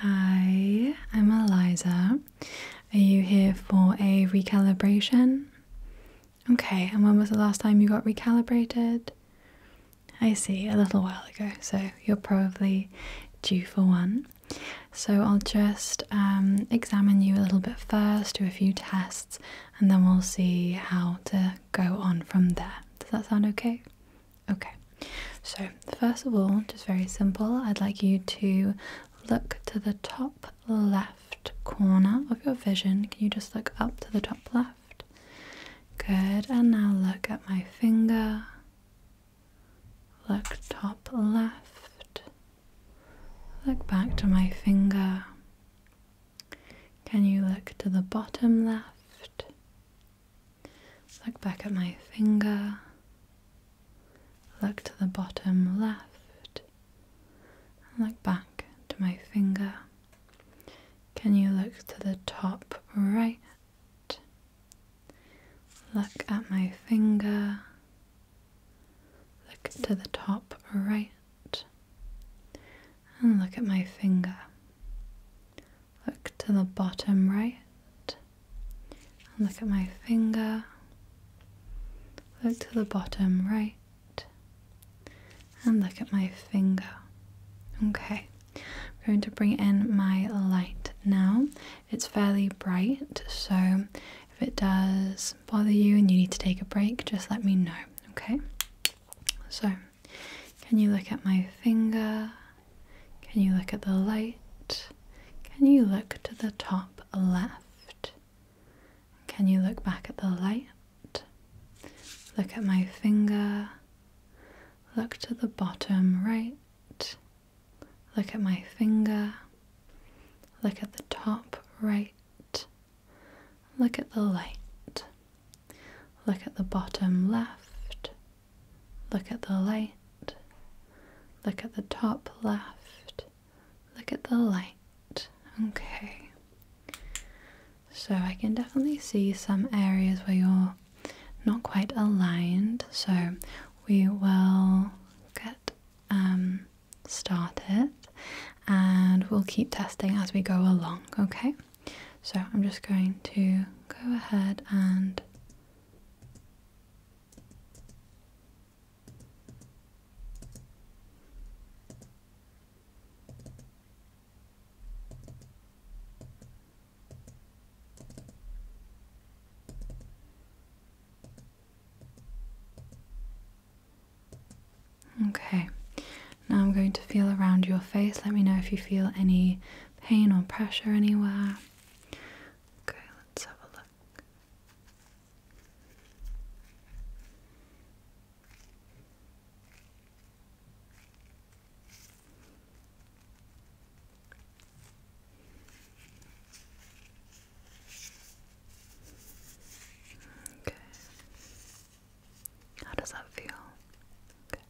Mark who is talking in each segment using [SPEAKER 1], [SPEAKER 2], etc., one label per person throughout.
[SPEAKER 1] Hi, I'm Eliza. Are you here for a recalibration? Okay, and when was the last time you got recalibrated? I see, a little while ago, so you're probably due for one. So I'll just um, examine you a little bit first, do a few tests, and then we'll see how to go on from there. Does that sound okay? Okay, so first of all, just very simple, I'd like you to look to the top left corner of your vision. Can you just look up to the top left? Good, and now look at my finger. Look top left. Look back to my finger. Can you look to the bottom left? Look back at my finger. Look to the bottom left. Look back to my finger. Can you look to the top right? Look at my finger. Look to the top right. And look at my finger. Look to the bottom right. And look at my finger. Look to the bottom right. And look at my finger. Okay. I'm going to bring in my light now. It's fairly bright, so if it does bother you and you need to take a break, just let me know, okay? So can you look at my finger? Can you look at the light? Can you look to the top left? Can you look back at the light? Look at my finger. Look to the bottom right. Look at my finger. Look at the top right. Look at the light. Look at the bottom left. Look at the light. Look at the top left. Look at the light. Okay. So I can definitely see some areas where you're not quite aligned. So we will get um, started and we'll keep testing as we go along, okay? So I'm just going to go ahead and Okay, now I'm going to feel around your face. Let me know if you feel any pain or pressure anywhere. Okay, let's have a look. Okay. How does that feel? Okay.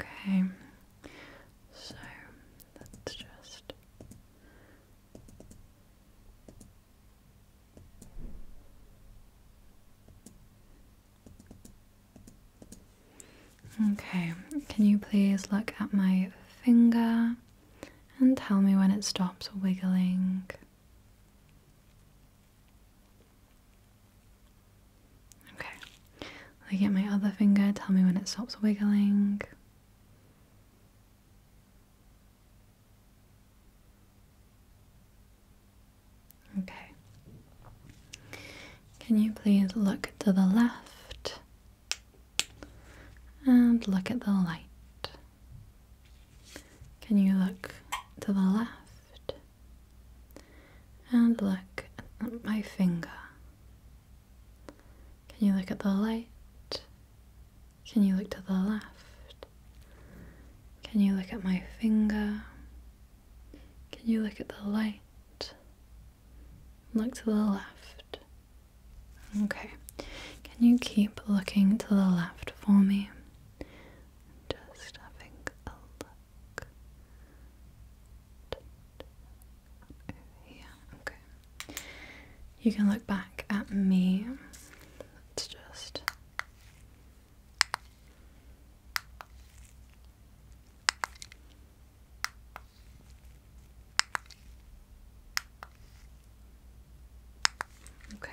[SPEAKER 1] Okay, so let's just Okay, can you please look at my finger and tell me when it stops wiggling? Okay, I get my other finger, tell me when it stops wiggling. Okay, can you please look to the left and look at the light? Can you look to the left and look at my finger. Can you look at the light? Can you look to the left? Can you look at my finger? Can you look at the light? Look to the left. Okay. Can you keep looking to the left for me? Just having a yeah, okay. You can look back at me. Let's just. Okay.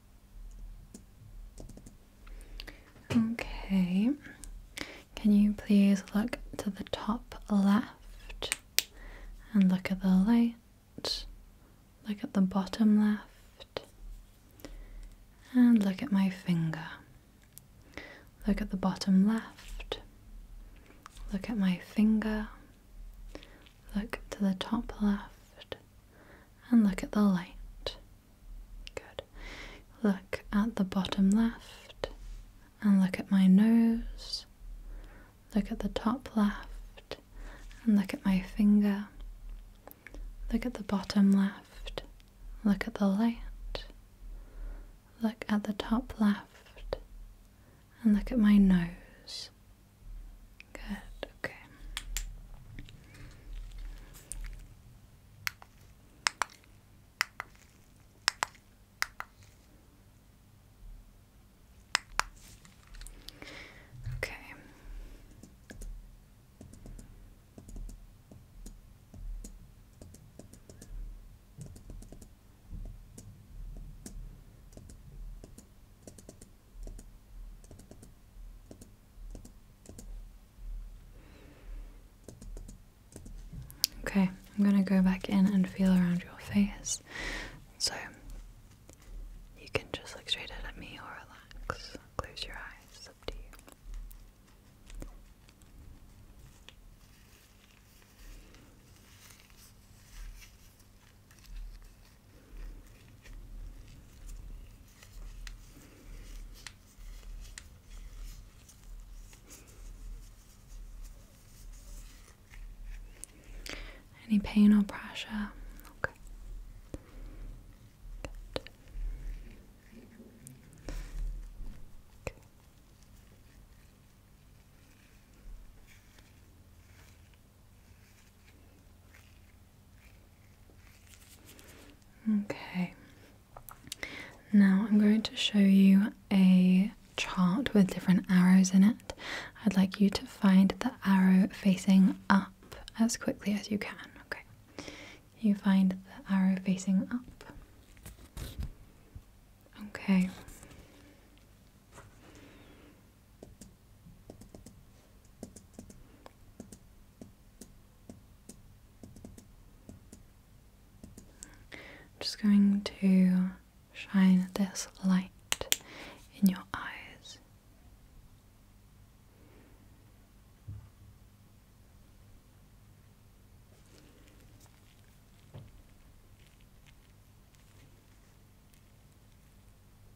[SPEAKER 1] Okay, can you please look to the top left and look at the light? Look at the bottom left and look at my finger. Look at the bottom left, look at my finger, look to the top left and look at the light. Good. Look at the bottom left and look at my nose. Look at the top left and look at my finger. Look at the bottom left. Look at the light. Look at the top left and look at my nose. Good, okay. Okay. Okay. Okay, I'm gonna go back in and feel around your face. So you can just look straight at me or relax. Close your eyes, up to you. Any pain or pressure? Okay. Okay, now I'm going to show you a chart with different arrows in it. I'd like you to find the arrow facing up as quickly as you can. Okay, you find the arrow facing up. Okay. I'm just going to shine this light in your eyes.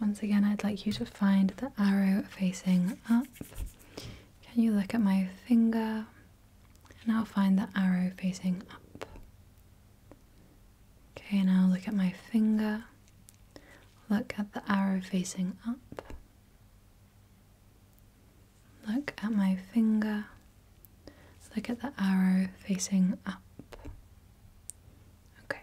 [SPEAKER 1] once again, I'd like you to find the arrow facing up. Can you look at my finger? And I'll find the arrow facing up. Okay, now look at my finger. Look at the arrow facing up. Look at my finger. Look at the arrow facing up. Okay.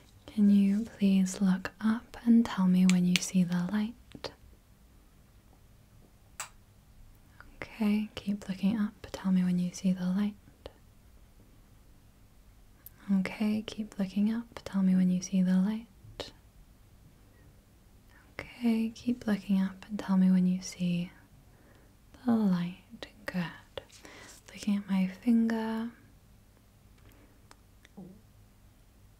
[SPEAKER 1] Can you please look up and tell me when you see the light? Okay, keep looking up. Tell me when you see the light. Okay, keep looking up. Tell me when you see the light. Okay, keep looking up and tell me when you see the light. Good. Looking at my finger.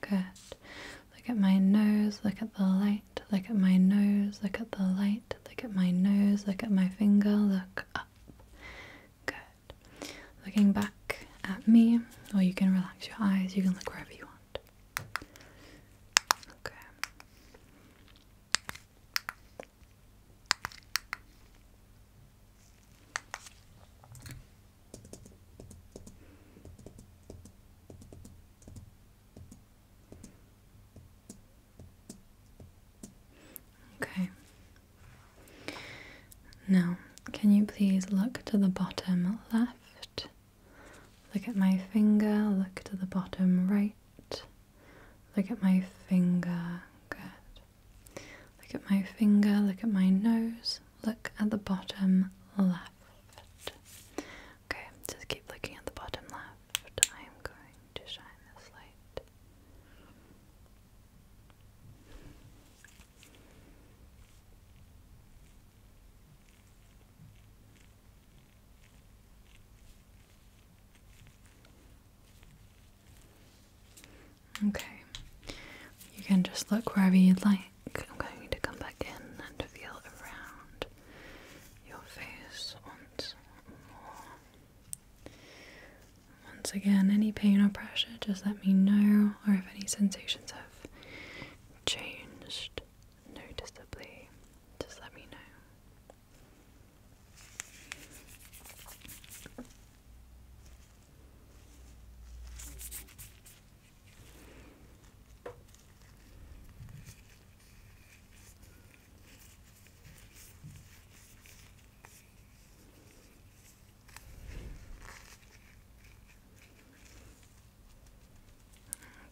[SPEAKER 1] Good. Look at my nose, look at the light, look at my nose, look at the light, look at my nose, look at my finger, look up. Good. Looking back at me, or you can relax your eyes, you can look wherever you want. Okay. Okay. Now, can you please look to the bottom left? Look at my finger, look to the bottom right, look at my finger. Good. Look at my finger, look at my nose, look at the bottom left. Okay, just keep looking at the bottom left. I am going to shine this light. Okay, you can just look wherever you'd like. I'm going to come back in and feel around your face once more. Once again, any pain or pressure, just let me know, or if any sensations have changed noticeably, just let me know.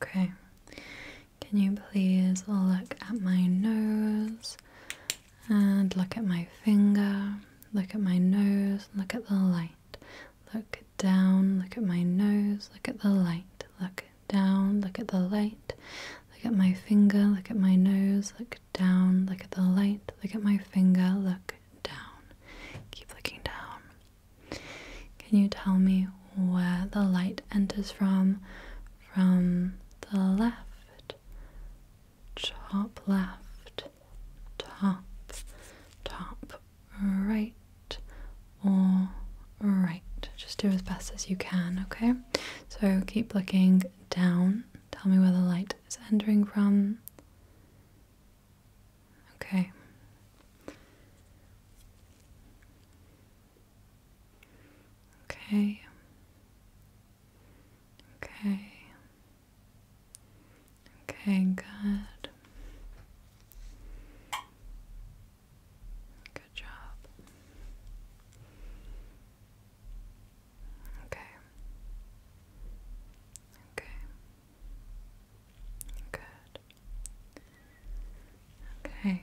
[SPEAKER 1] Okay, can you please look at my nose and look at my finger, look at my nose, look at the light. Look down, look at my nose, look at the light. Look down, look at the light. Look at my finger, look at my nose, look down, look at the light. Look at my finger, look down. Keep looking down. Can you tell me where the light enters from? From the left, top left, top, top right, or right. Just do as best as you can, okay? So keep looking down. Tell me where the light is entering from. Okay. Okay. Okay. Okay, good. Good job. Okay. Okay. Good. Okay.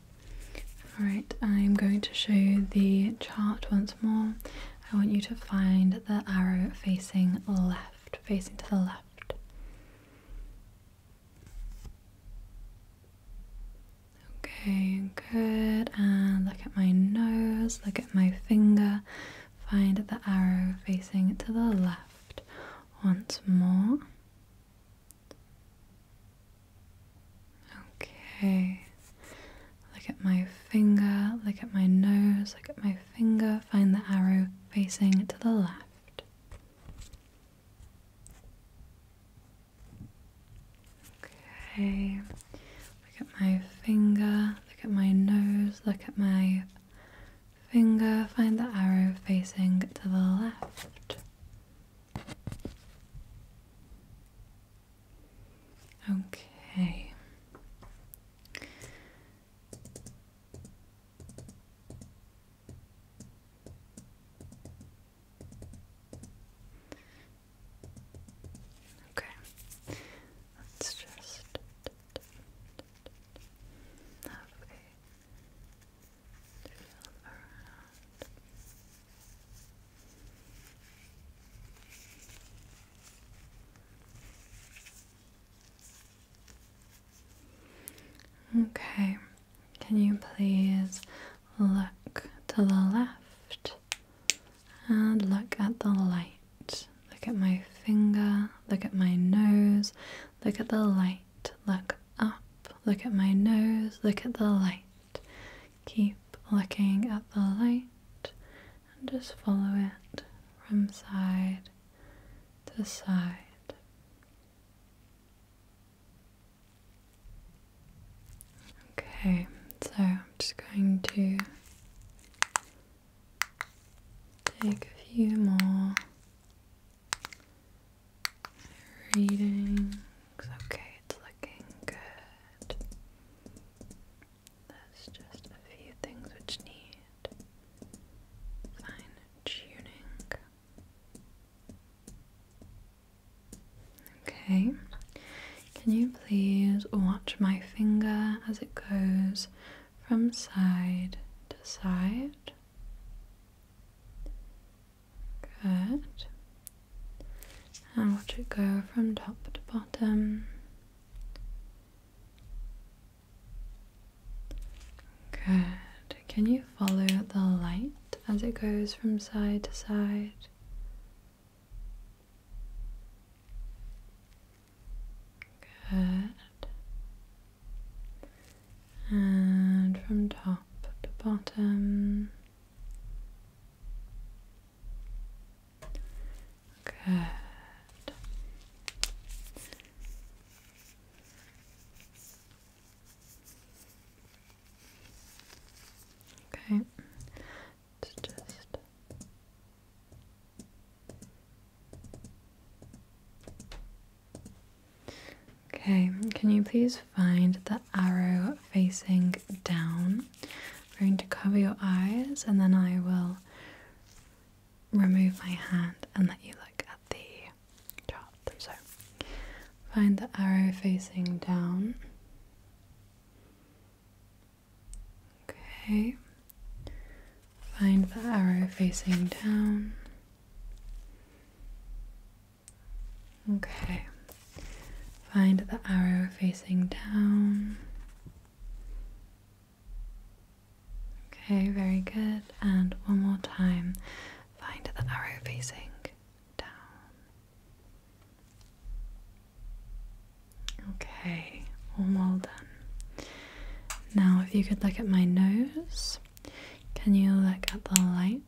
[SPEAKER 1] Alright, I'm going to show you the chart once more. I want you to find the arrow facing left, facing to the left. Okay, good. And look at my nose, look at my finger. Find the arrow facing to the left once more. Okay. Look at my finger, look at my nose, look at my finger, find the arrow facing to the left. Okay. Look at my finger, look at my nose, look at my finger, find the arrow facing to the left. Okay. Okay. Let's just have around. Okay, can you please look to the left and look at the light? Look at my finger, look at my nose, look at the light, look up, look at my nose, look at the light. Keep looking at the light and just follow it from side to side. Okay, so I'm just going to take a few more readings. Okay, it's looking good. There's just a few things which need fine tuning. Okay, can you please watch my finger as it goes from side to side? Good. And watch it go from top to bottom. Good. Can you follow the light as it goes from side to side? Good. And from top to bottom. Good. Okay. just Okay, can you please find the arrow facing down? I'm going to cover your eyes and then I will remove my hand and let you look at the chart. So, find the arrow facing down. Okay, find the arrow facing down. Okay, find the arrow facing down. Okay, very good. And one more time, find the arrow facing down. Okay, well done. Now, if you could look at my nose, can you look at the light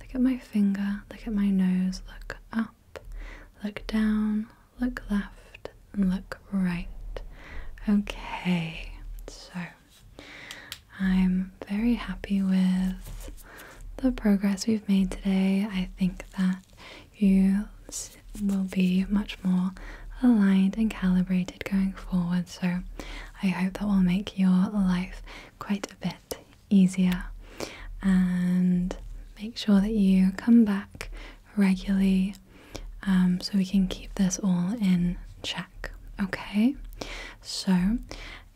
[SPEAKER 1] look at my finger, look at my nose, look up, look down, look left, and look right. Okay, so I'm very happy with the progress we've made today. I think that you will be much more aligned and calibrated going forward. So I hope that will make your life quite a bit easier and make sure that you come back regularly um, so we can keep this all in check. Okay, so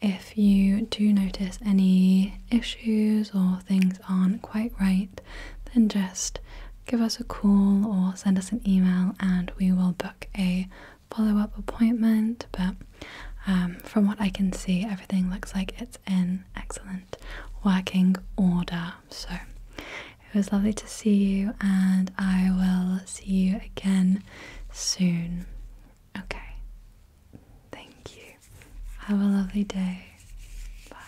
[SPEAKER 1] if you do notice any issues or things aren't quite right, then just give us a call or send us an email and we will book a follow up appointment, but um, from what I can see, everything looks like it's in excellent working order. So it was lovely to see you, and I will see you again soon. Okay. Thank you. Have a lovely day. Bye.